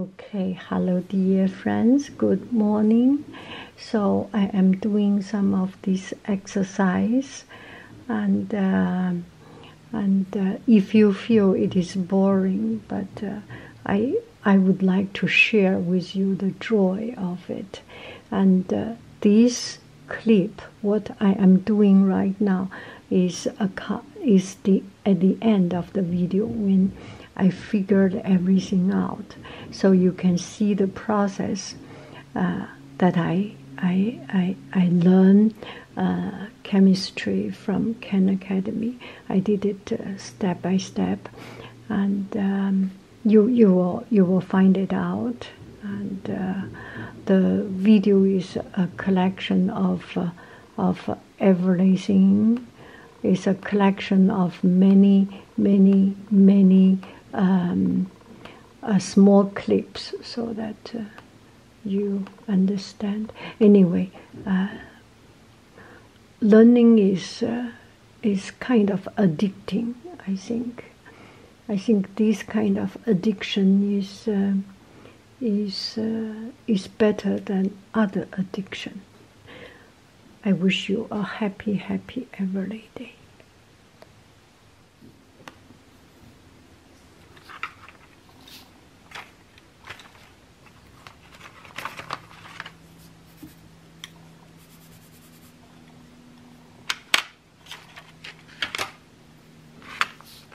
okay hello dear friends good morning so i am doing some of this exercise and uh, and uh, if you feel it is boring but uh, i i would like to share with you the joy of it and this clip what i am doing right now is a is the at the end of the video when I figured everything out. So you can see the process uh, that I I I I learned uh, chemistry from Khan Academy. I did it uh, step by step, and um, you you will you will find it out. And the video is a collection of of everything is a collection of many, many, many um, uh, small clips so that uh, you understand. Anyway, uh, learning is is kind of addicting. I think. I think this kind of addiction is is, uh, is better than other addiction. I wish you a happy, happy every day.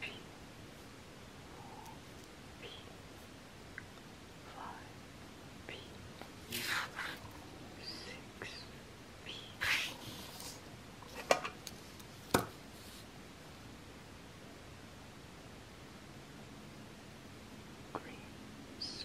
three, four, P, five, P, six, P. Green side.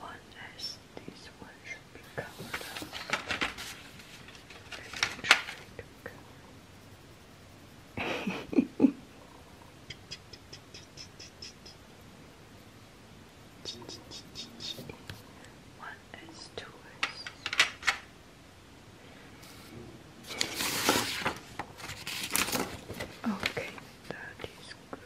one as this one should be covered up. Cover. one as two as. Okay, that is good.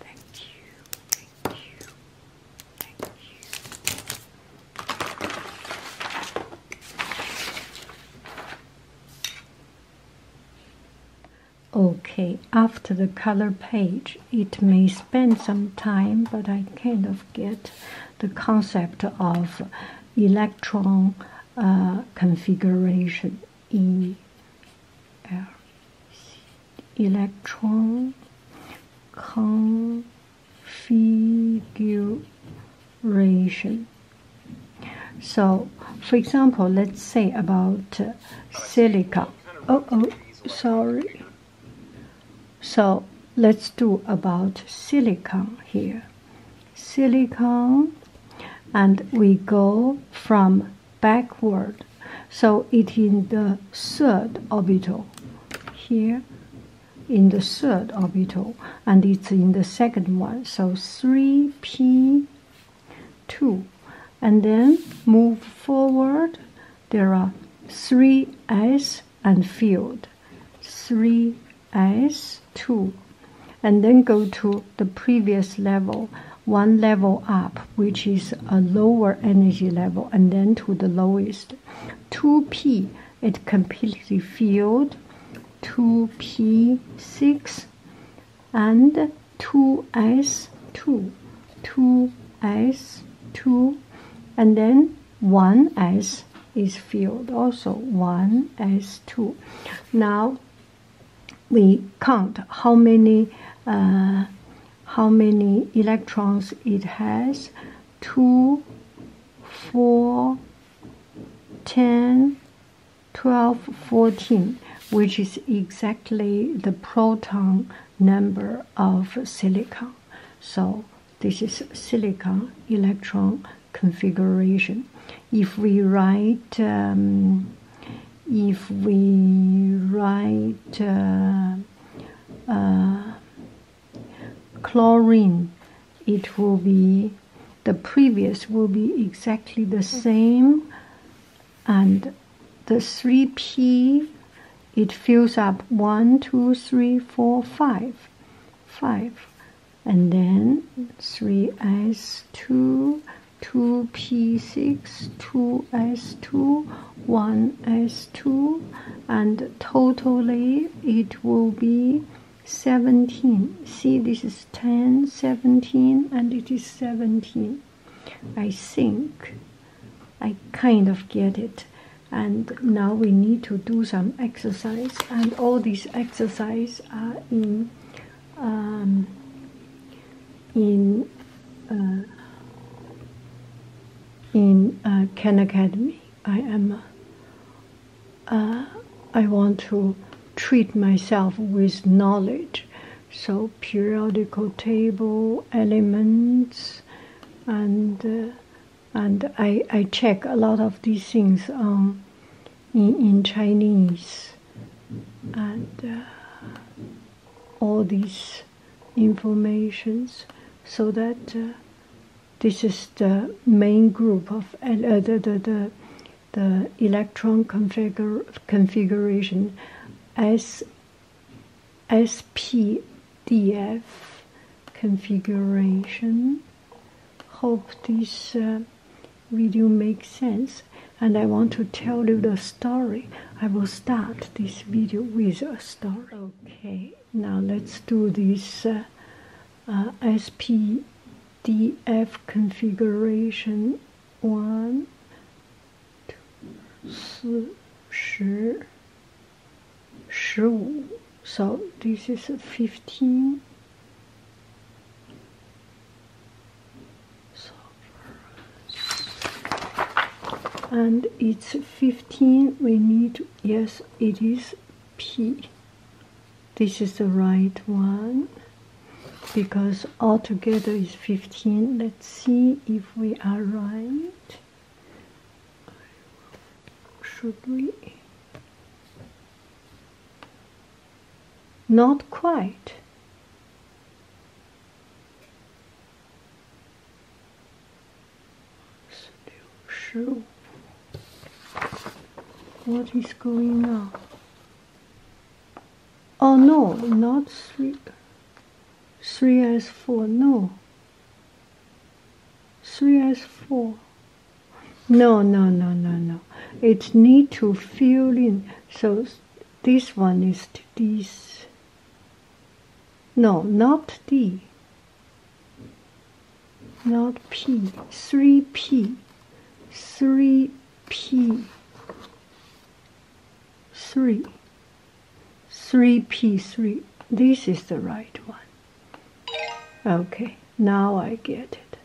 Thank you, thank you, thank you. Okay, after the color page, it may spend some time, but I kind of get the concept of electron uh, configuration E L electron configuration. So, for example, let's say about uh, oh, silica. Oh, oh, sorry. So let's do about silicon here. Silicon and we go from backward. So it is in the third orbital here in the third orbital and it's in the second one. So 3p2 and then move forward there are three s and field, three s two, and then go to the previous level, one level up, which is a lower energy level, and then to the lowest. 2p, it completely filled, 2p6, and two s 2 two s two and then one s is filled also one s two now we count how many uh, how many electrons it has 2 ten, twelve, fourteen, which is exactly the proton number of silicon. So this is silicon electron configuration. If we write, um, if we write uh, uh, chlorine, it will be the previous will be exactly the same, and the 3p, it fills up 1, 2, 3, 4, 5. 5. And then three 3s, 2, 2p6, 2s2, 1s2, and totally it will be 17. See, this is 10, 17, and it is 17. I think I kind of get it. And now we need to do some exercise, and all these exercise are in um, in uh, in uh, Ken Academy. I am. Uh, I want to treat myself with knowledge, so periodical table elements and uh, and I, I check a lot of these things on um, in, in Chinese, and uh, all these informations, so that uh, this is the main group of the, the, the, the, electron configure, configuration as SPDF configuration. Hope this uh, video makes sense. And I want to tell you the story. I will start this video with a story. Okay, now let's do this uh, uh, SPDF configuration one so this is fifteen. and it's 15 we need yes it is p this is the right one because altogether is 15 let's see if we are right should we? Not quite. Sure. What is going on? Oh no, not three, three as four. No, Three 3s4. No, no, no, no, no. It need to fill in. So this one is this. No, not D. Not P. 3P. 3P. 3. 3p3 this is the right one okay now i get it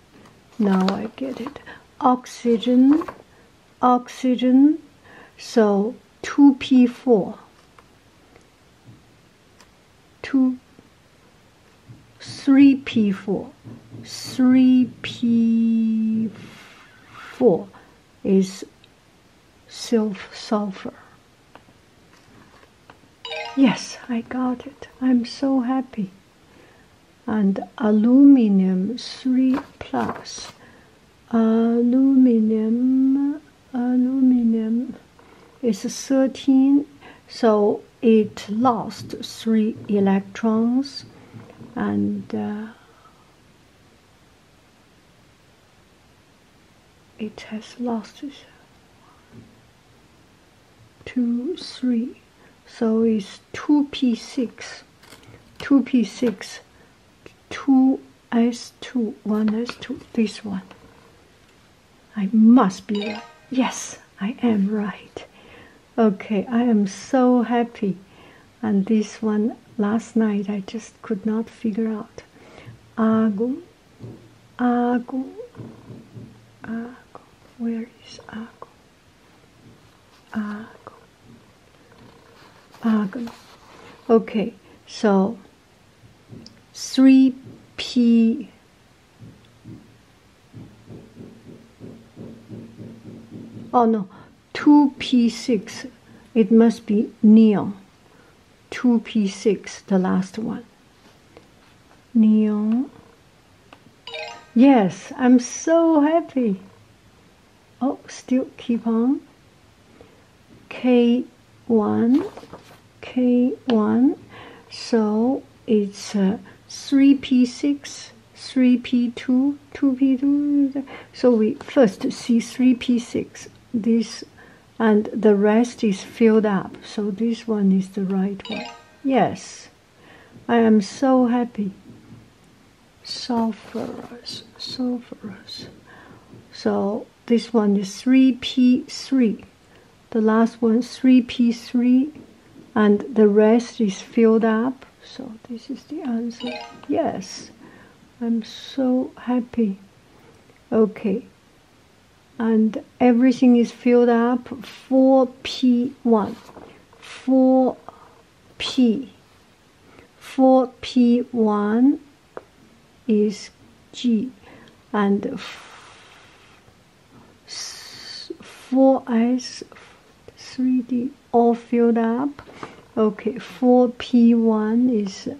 now i get it oxygen oxygen so 2p4 2 3p4 3p4 is sulfur. Yes, I got it. I'm so happy. And aluminum 3 plus. Aluminum, aluminum is 13, so it lost 3 electrons and. Uh, it has lost two three so it's 2p6 2p6 2s2 1s2 this one I must be right yes I am right okay I am so happy and this one last night I just could not figure out. Agu, Agu, Agu. Where is Agu? Agu, Agu. Okay, so 3P. Oh no, 2p6. It must be neon. 2p6, the last one. Neon. Yes, I'm so happy. Oh, still keep on. K1, K1. So it's 3p6, 3p2, 2p2. So we first see 3p6. This and the rest is filled up. So this one is the right one. Yes, I am so happy. Sulfurous, sulfurous. So this one is 3p3. The last one 3p3 and the rest is filled up. So this is the answer. Yes, I'm so happy. Okay. And everything is filled up 4P1. 4P. 4P1 is G and four 4S 3D all filled up. Okay, 4P1 is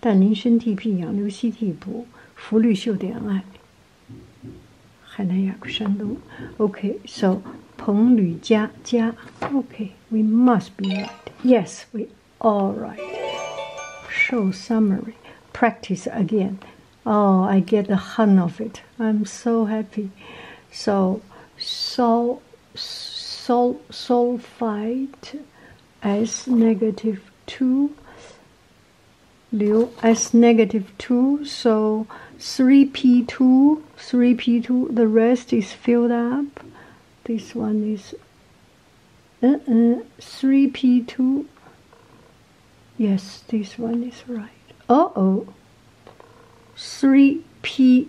但您身替辟杨柳溪替补，拂绿袖点爱。Okay, so we must be right. Yes, we all right. Show summary. Practice again. Oh, I get the hang of it. I'm so happy. So, sol, sol, sulfite S negative 2 Liu S negative 2, so 3p2, 3p2, the rest is filled up. This one is 3p2. Uh, uh, yes, this one is right. Uh 3p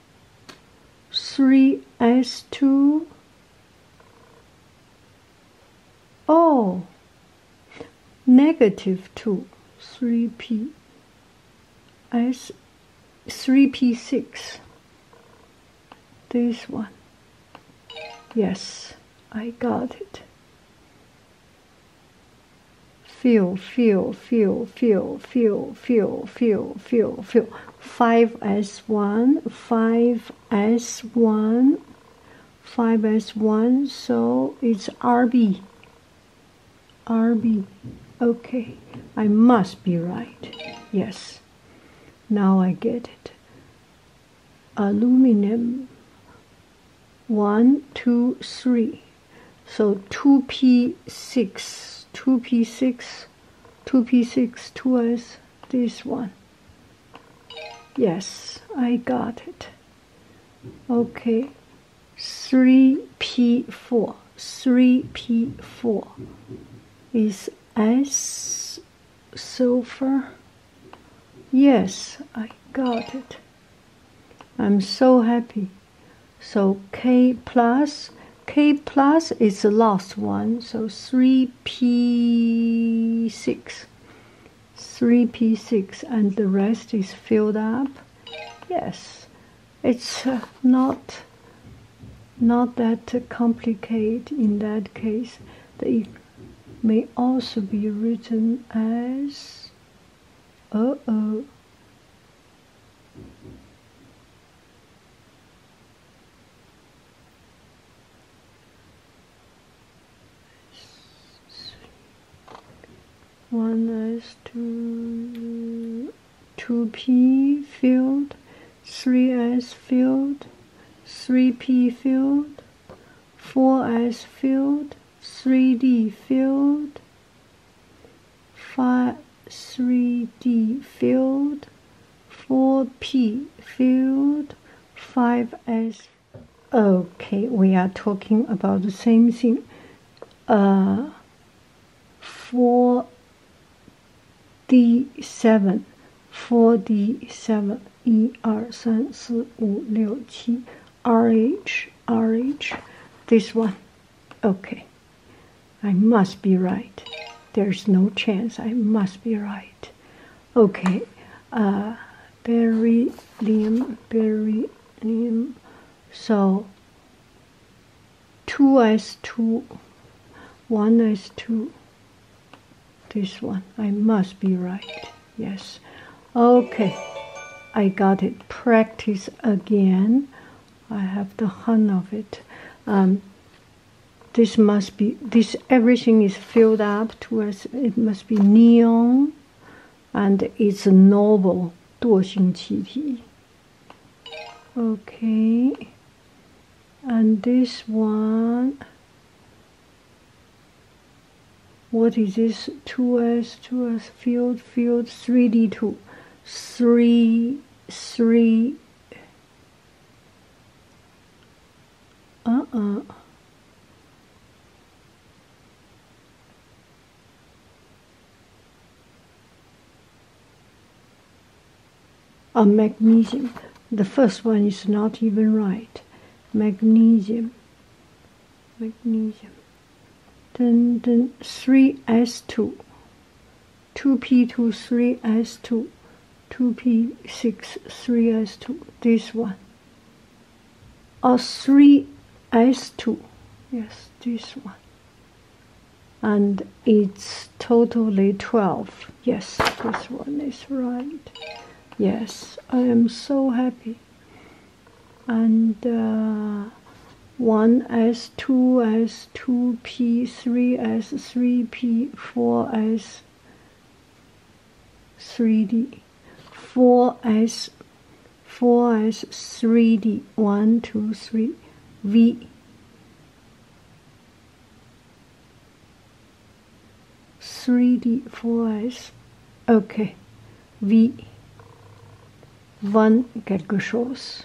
3s2 oh negative 2 3p s 3p6 this one yes I got it feel, feel, feel, feel, feel, feel, feel, feel, feel. 5s1, 5s1, 5s1, so it's RB. RB. Okay, I must be right. Yes, now I get it. Aluminum. One, two, three. So 2p6, 2p6, 2p6 towards this one. Yes, I got it. Okay, 3p4, 3p4 is S sulfur. Yes, I got it. I'm so happy. So K plus, K plus is the last one, so 3P6. 3P6 and the rest is filled up. Yes, it's uh, not not that complicated in that case. They may also be written as uh-oh, one S two two P filled, three S filled, three P filled, four S filled, three D filled. Five 3D field, 4P field, 5S. Okay, we are talking about the same thing. Uh, 4D7, 4D7, 一二三四五六七，RH RH, this one. Okay, I must be right. There's no chance. I must be right. Okay, uh, beryllium, beryllium. So, two is 2 one is 2 This one. I must be right. Yes. Okay, I got it. Practice again. I have the hun of it. Um, this must be this everything is filled up to us. It must be neon, and it's a noble 惰性气体. Okay, and this one. What is this? 2s, 2s, field, field, 3d2 three, three, uh-uh. A magnesium. The first one is not even right. Magnesium. Magnesium then then 3s2 2p2 3s2 2p6 3s2 this one or 3s2 yes this one and it's totally 12 yes this one is right yes i am so happy and uh, 1s, 2s, 2p, 3s, 3p, 4s, 3d, 4s, 4s, 3d, 1, 2, 3, v, three D four S. Okay. Wie wann quelque chose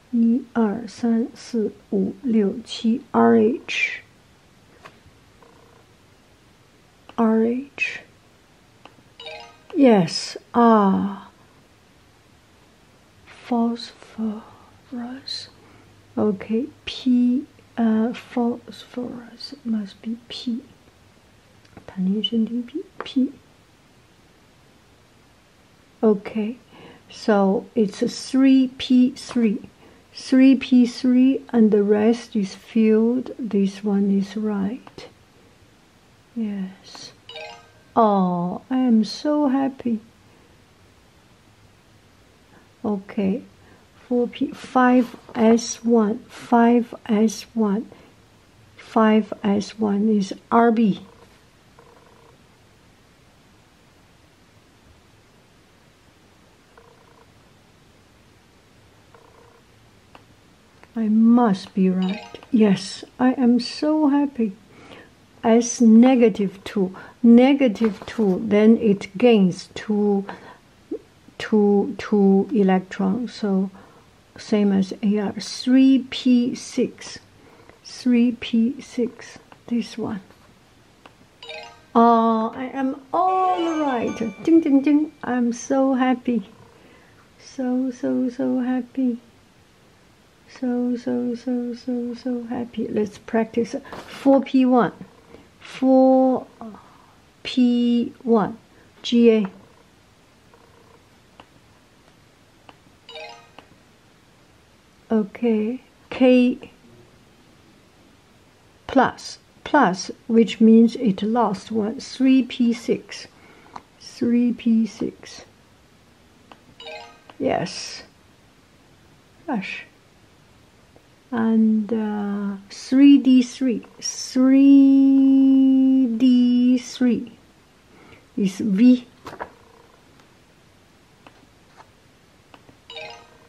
一二三四五六七，RH。RH. Yes, ah. Phosphorus. Okay, P. Uh, phosphorus it must be P. 弹力神经 P P. Okay, so it's a 3p3. 3p3 and the rest is filled. This one is right. Yes. Oh, I am so happy. Okay, 4p, 5s1, 5s1, 5s1 is RB. I must be right. Yes, I am so happy. As negative 2, negative 2, then it gains two, two, two two, electrons. So same as AR. 3p6. 3p6. This one. Oh, I am all right. Ding, ding, ding. I'm so happy. So, so, so happy. So, so, so, so, so happy. Let's practice 4P1. 4P1. GA okay k plus plus which means it lost one 3p6 3p6 yes gosh and 3d3 uh, 3d3 is v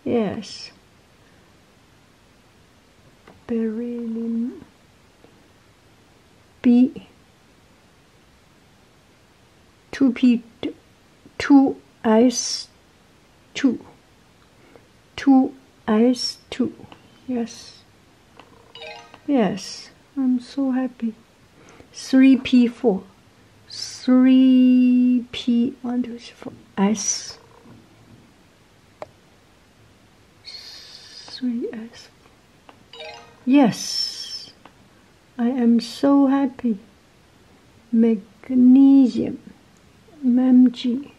Yes. Beryllium. B. 2P. Two 2S. 2. Two 2S. 2. Yes. Yes. I'm so happy. 3P4 three P one two three four S three S Yes I am so happy Magnesium MG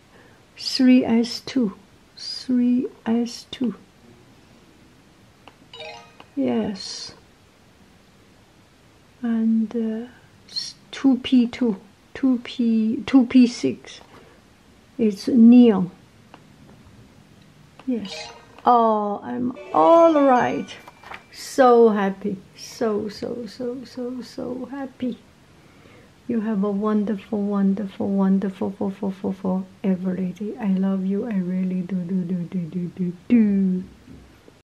3S2 3S2 Yes and uh, 2p2 2p 2p6 it's neon yes oh i'm all right so happy so so so so so happy you have a wonderful wonderful wonderful for for for for every day i love you i really do do do do do do do